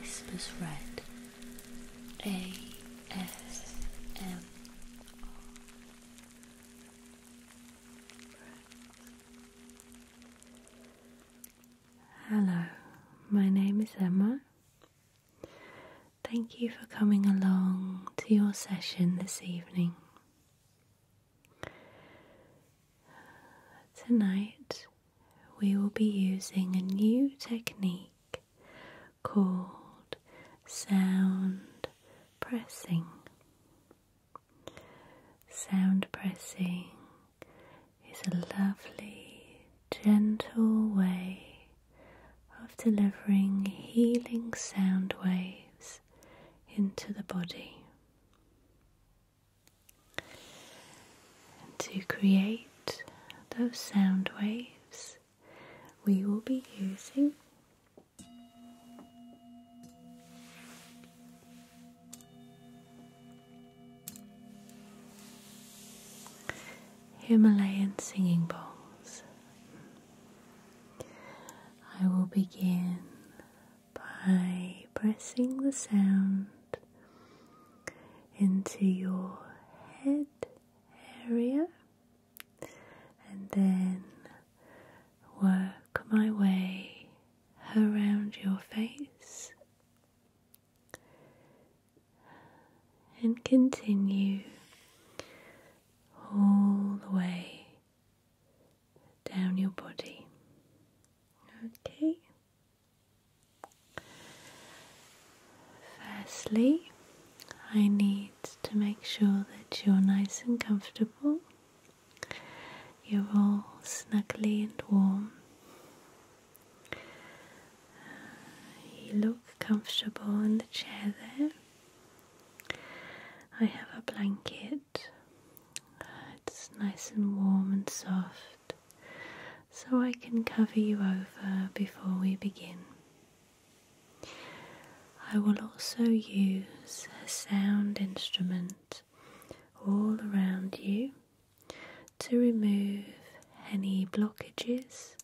Whispers Red A S M Hello, my name is Emma Thank you for coming along to your session this evening. Tonight, we will be using a new technique called sound pressing. Sound pressing is a lovely, gentle way of delivering healing sound waves into the body. to create those sound waves, we will be using Himalayan singing bowls. I will begin by pressing the sound into your head area and then work my way around your face and continue all the way down your body. Okay. Firstly, I need to make sure that you're nice and comfortable. You're all snuggly and warm. You look comfortable in the chair there. I have a blanket. It's nice and warm and soft, so I can cover you over before we begin. I will also use a sound instrument all around you to remove any blockages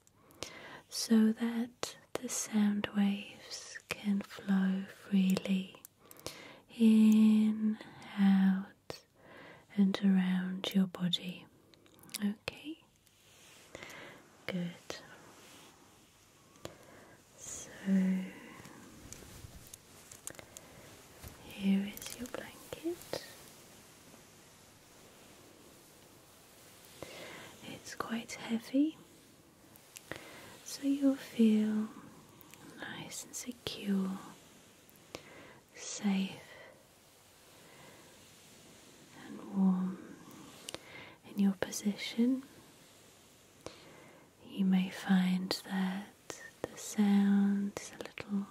so that the sound waves can flow freely in, out, and around your body. Okay, good. So here is your blanket. It's quite heavy, so you'll feel nice and secure, safe, and warm in your position. You may find that the sound is a little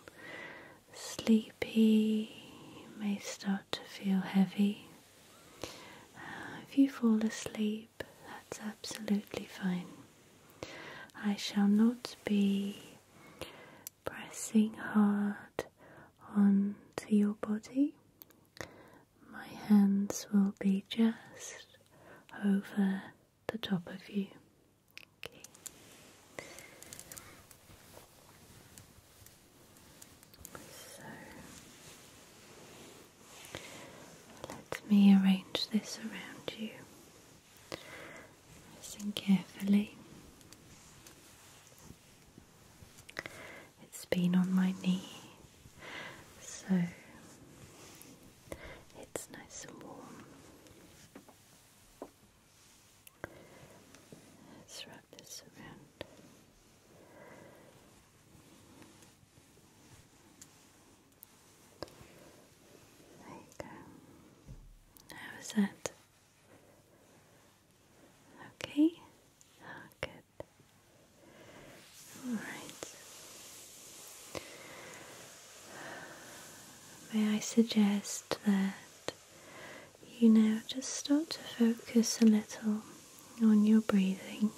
sleepy, you may start to feel heavy uh, if you fall asleep, that's absolutely fine. I shall not be pressing hard onto your body. My hands will be just over the top of you. So let me arrange this around you, Listen carefully. It's been on my knee, so it's nice and warm. Let's wrap this around there you go. How is that? Okay. Oh, good. All right. May I suggest that you now just start to focus a little on your breathing.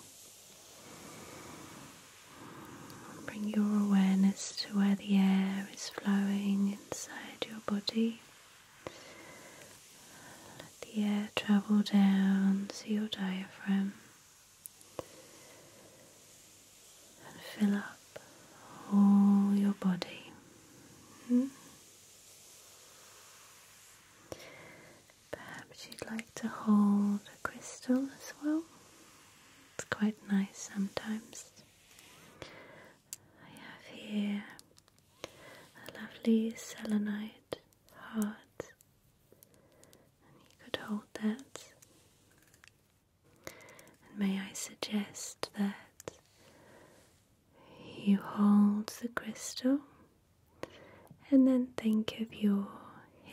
Bring your awareness to where the air is flowing inside your body. Let the air travel down to your diaphragm and fill up all your body. Hmm? Perhaps you'd like to hold a crystal as well. It's quite nice sometimes. I have here a lovely selenite heart, you could hold that. may I suggest that you hold the crystal and then think of your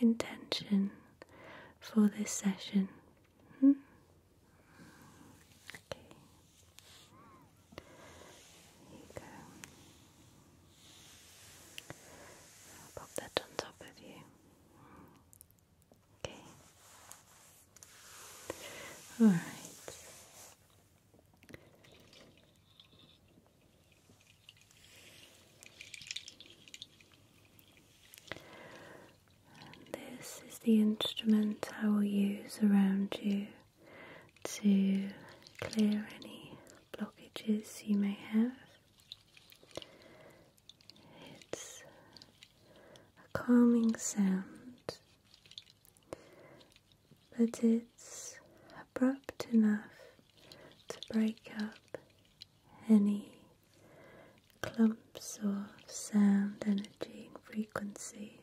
intention for this session. Hmm? Okay. There you go. pop that on top of you. Okay. All right this is the instrument I will use around you to clear any blockages you may have. It's a calming sound but it's abrupt enough to break up any clumps of sound, energy, and frequency.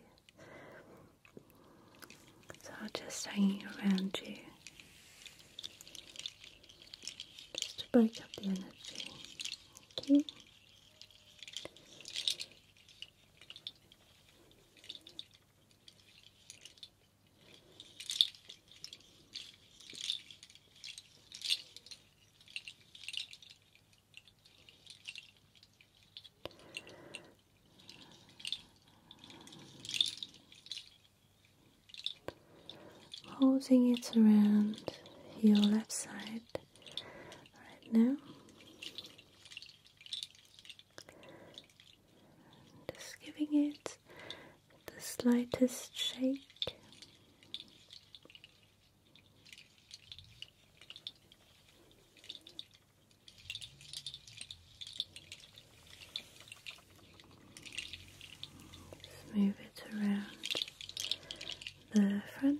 that are just hanging around you, just to break up the energy. Okay. Holding it around your left side right now. Just giving it the slightest shake. move it around the front.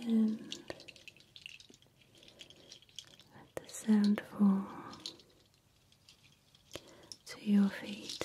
And let the sound fall to your feet.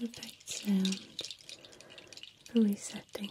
Perfect sound for resetting.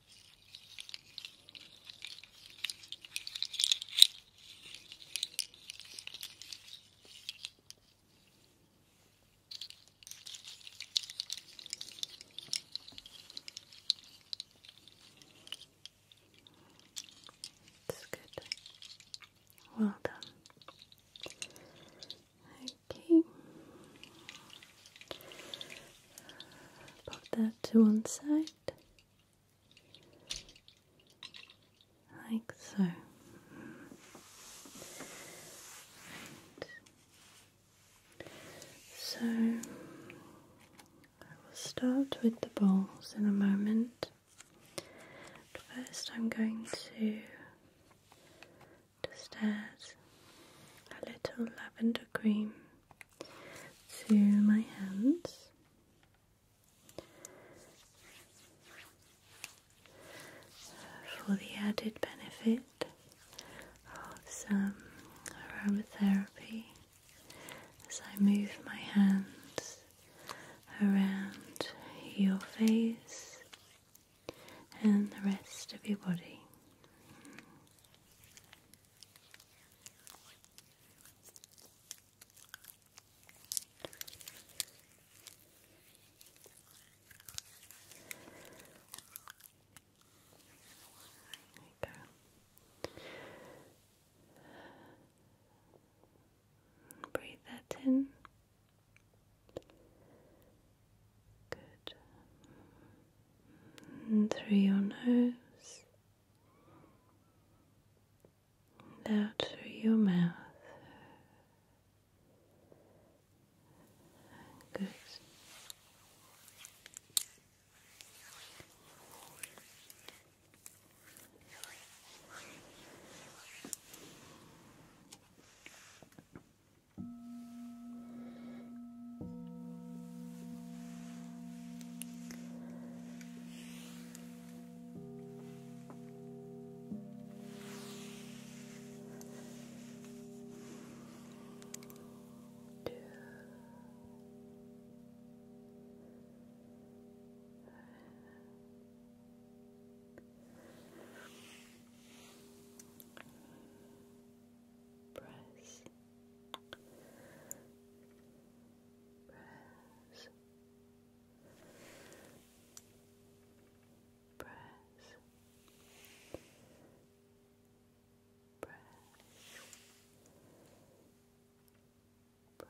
It's good. Well done. Okay. Put that to one side. Like so. Right. So I will start with the balls in a moment. first, I'm going to just add a little lavender cream to my hands. For the added benefit of some aromatherapy as I move my hands around your face and the rest of your body. There you Breathe that in. Good. through your nose. out through your mouth. Good. Press press, press, press. Press. Press.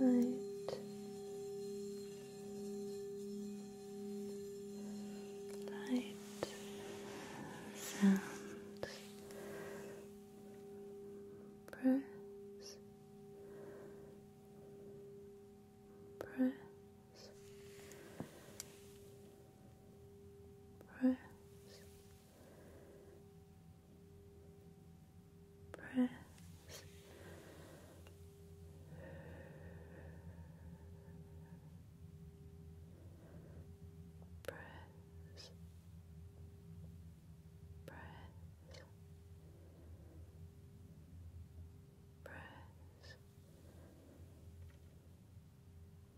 light, light, sound, press, press press, press. Press, press, press,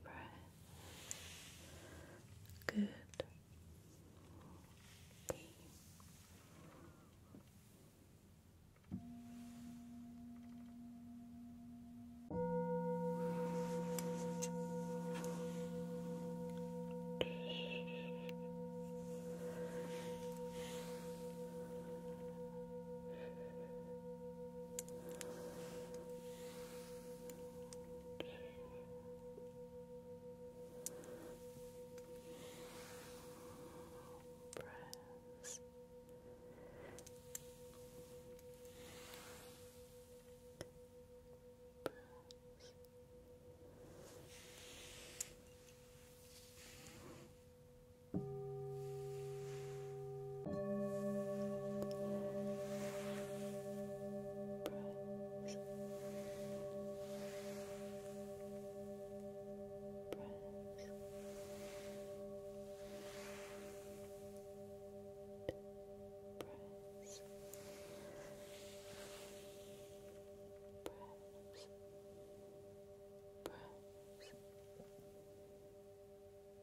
breath. Good. Okay. Good. Press. Press. Press. Press. Press. Press. Press.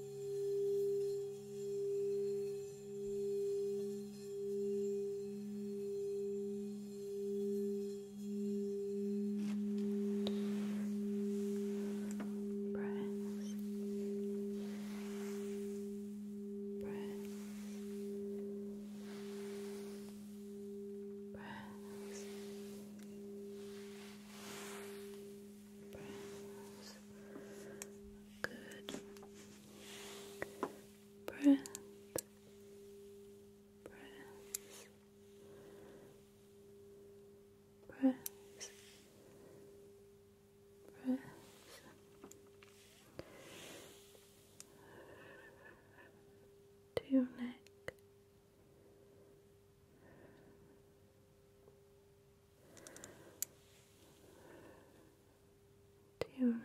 Press, press, press. Press, Good. Breath. Breaths. Breaths. Breaths. To your neck to your Good.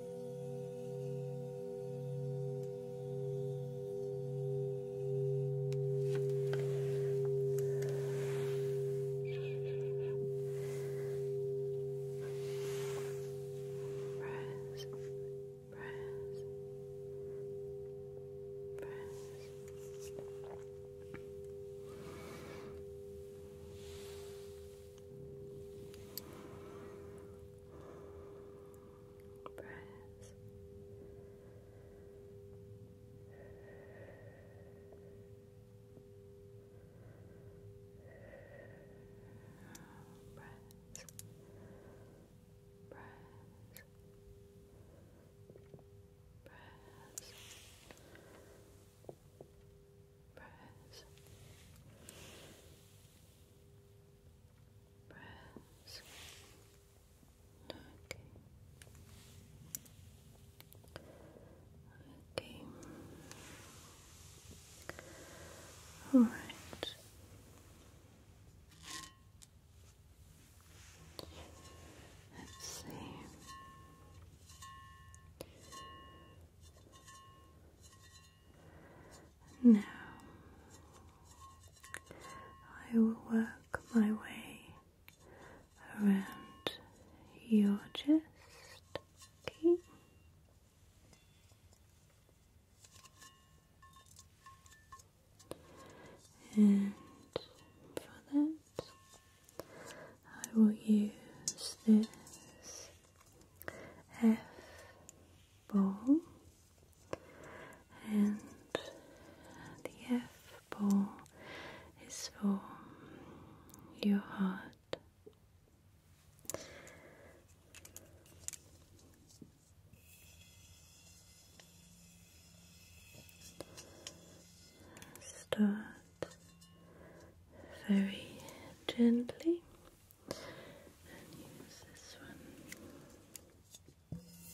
Press, press, press. Press, breaths. Breaths. Breaths. Breaths. Breaths. Breaths okay. Okay. All right. Let's see. Now I will work my way around your chest. And for that, I will use this F bow and the F ball is for your heart. Start very gently and use this one. Okay.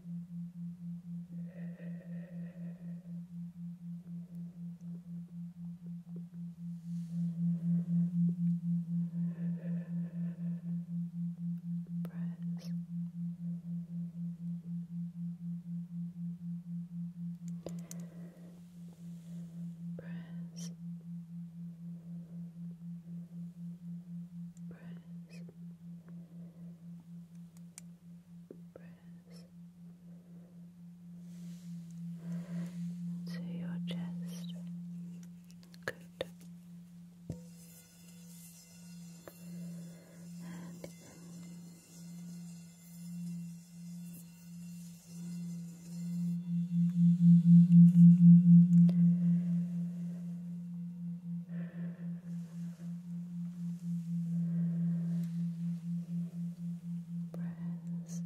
Press. Press. Press press into your chest. Good breaths. Breaths.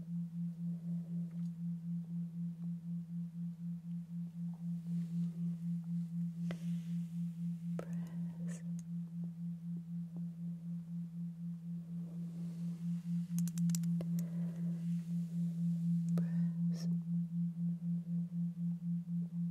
Breaths. Breaths.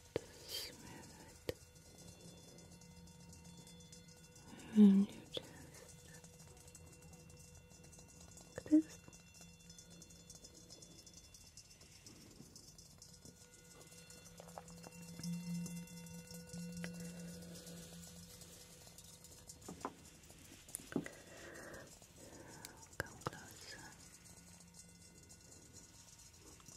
smooth it around your chest. Come closer.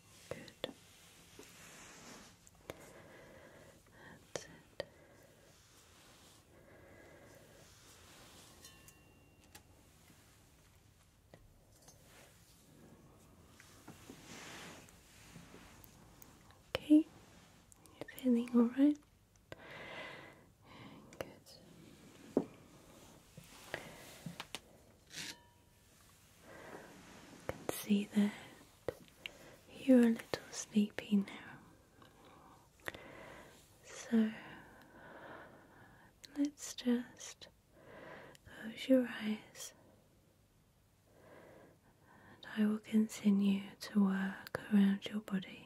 Good. That's it. Okay, you feeling all right? Good. I can see that you're a little sleepy now. So let's just close your eyes and I will continue to work around your body.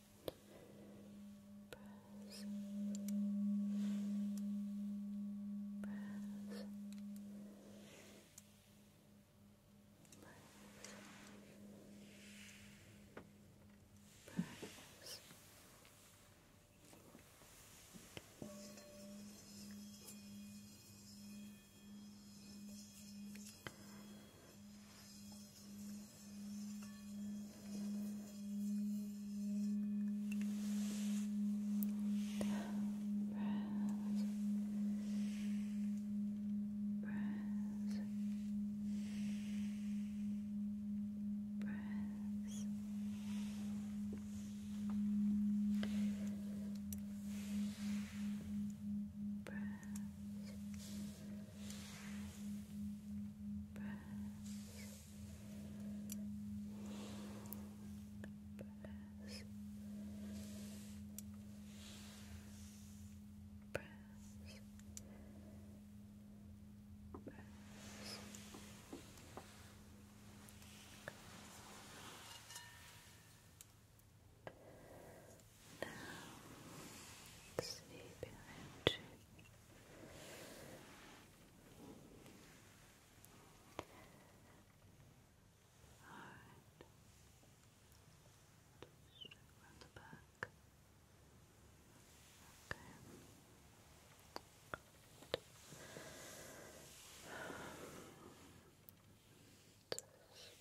press, press. Press. Press. Breath, press, press, press. Now, sleep your energy Alright. Just around the back. Okay. Just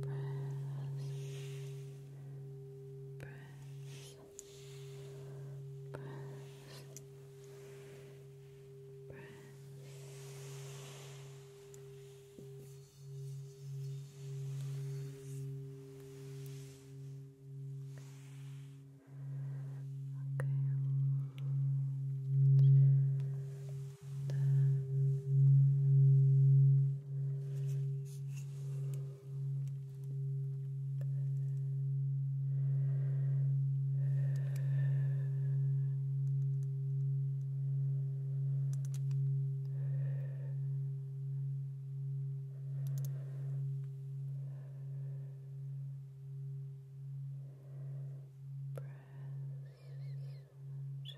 press, press, press. Press. Okay. Press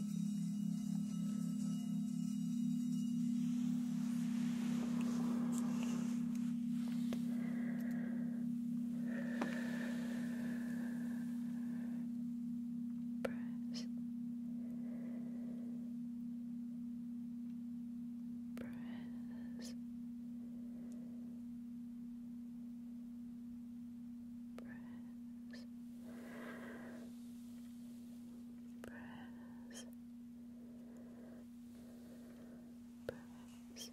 Press. Press. Press press, press, press. Press. Press. Good.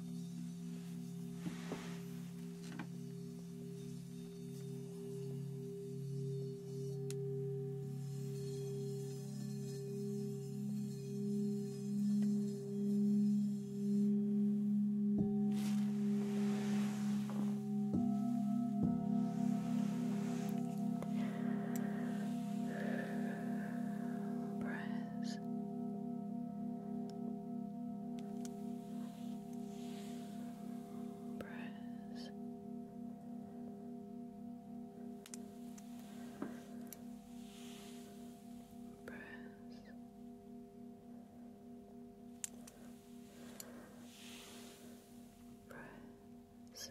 Press eyes. Press. Press. Press. Press.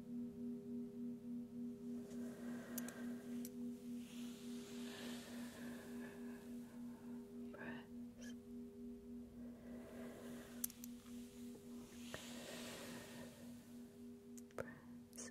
Press. Press. Press.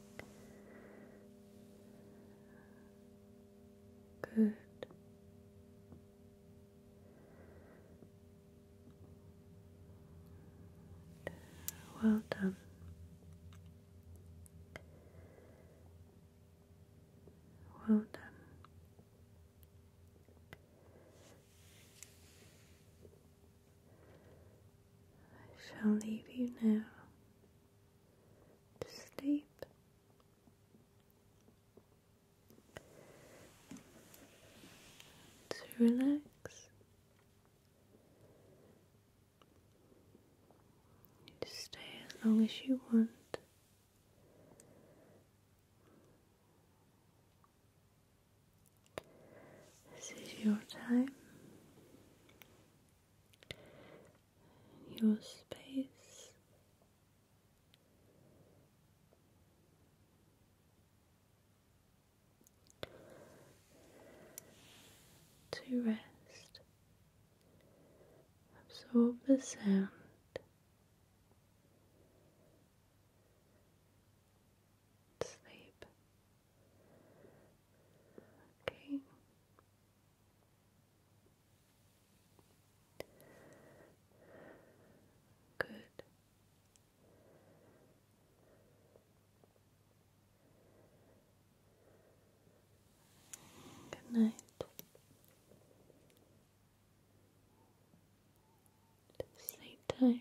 Good. Well done. Well done. I shall leave you now to sleep. To relax. to stay as long as you want. This is your time your space. To rest, absorb the sound. Sleep. Okay. Good. Good night. Sleep tight.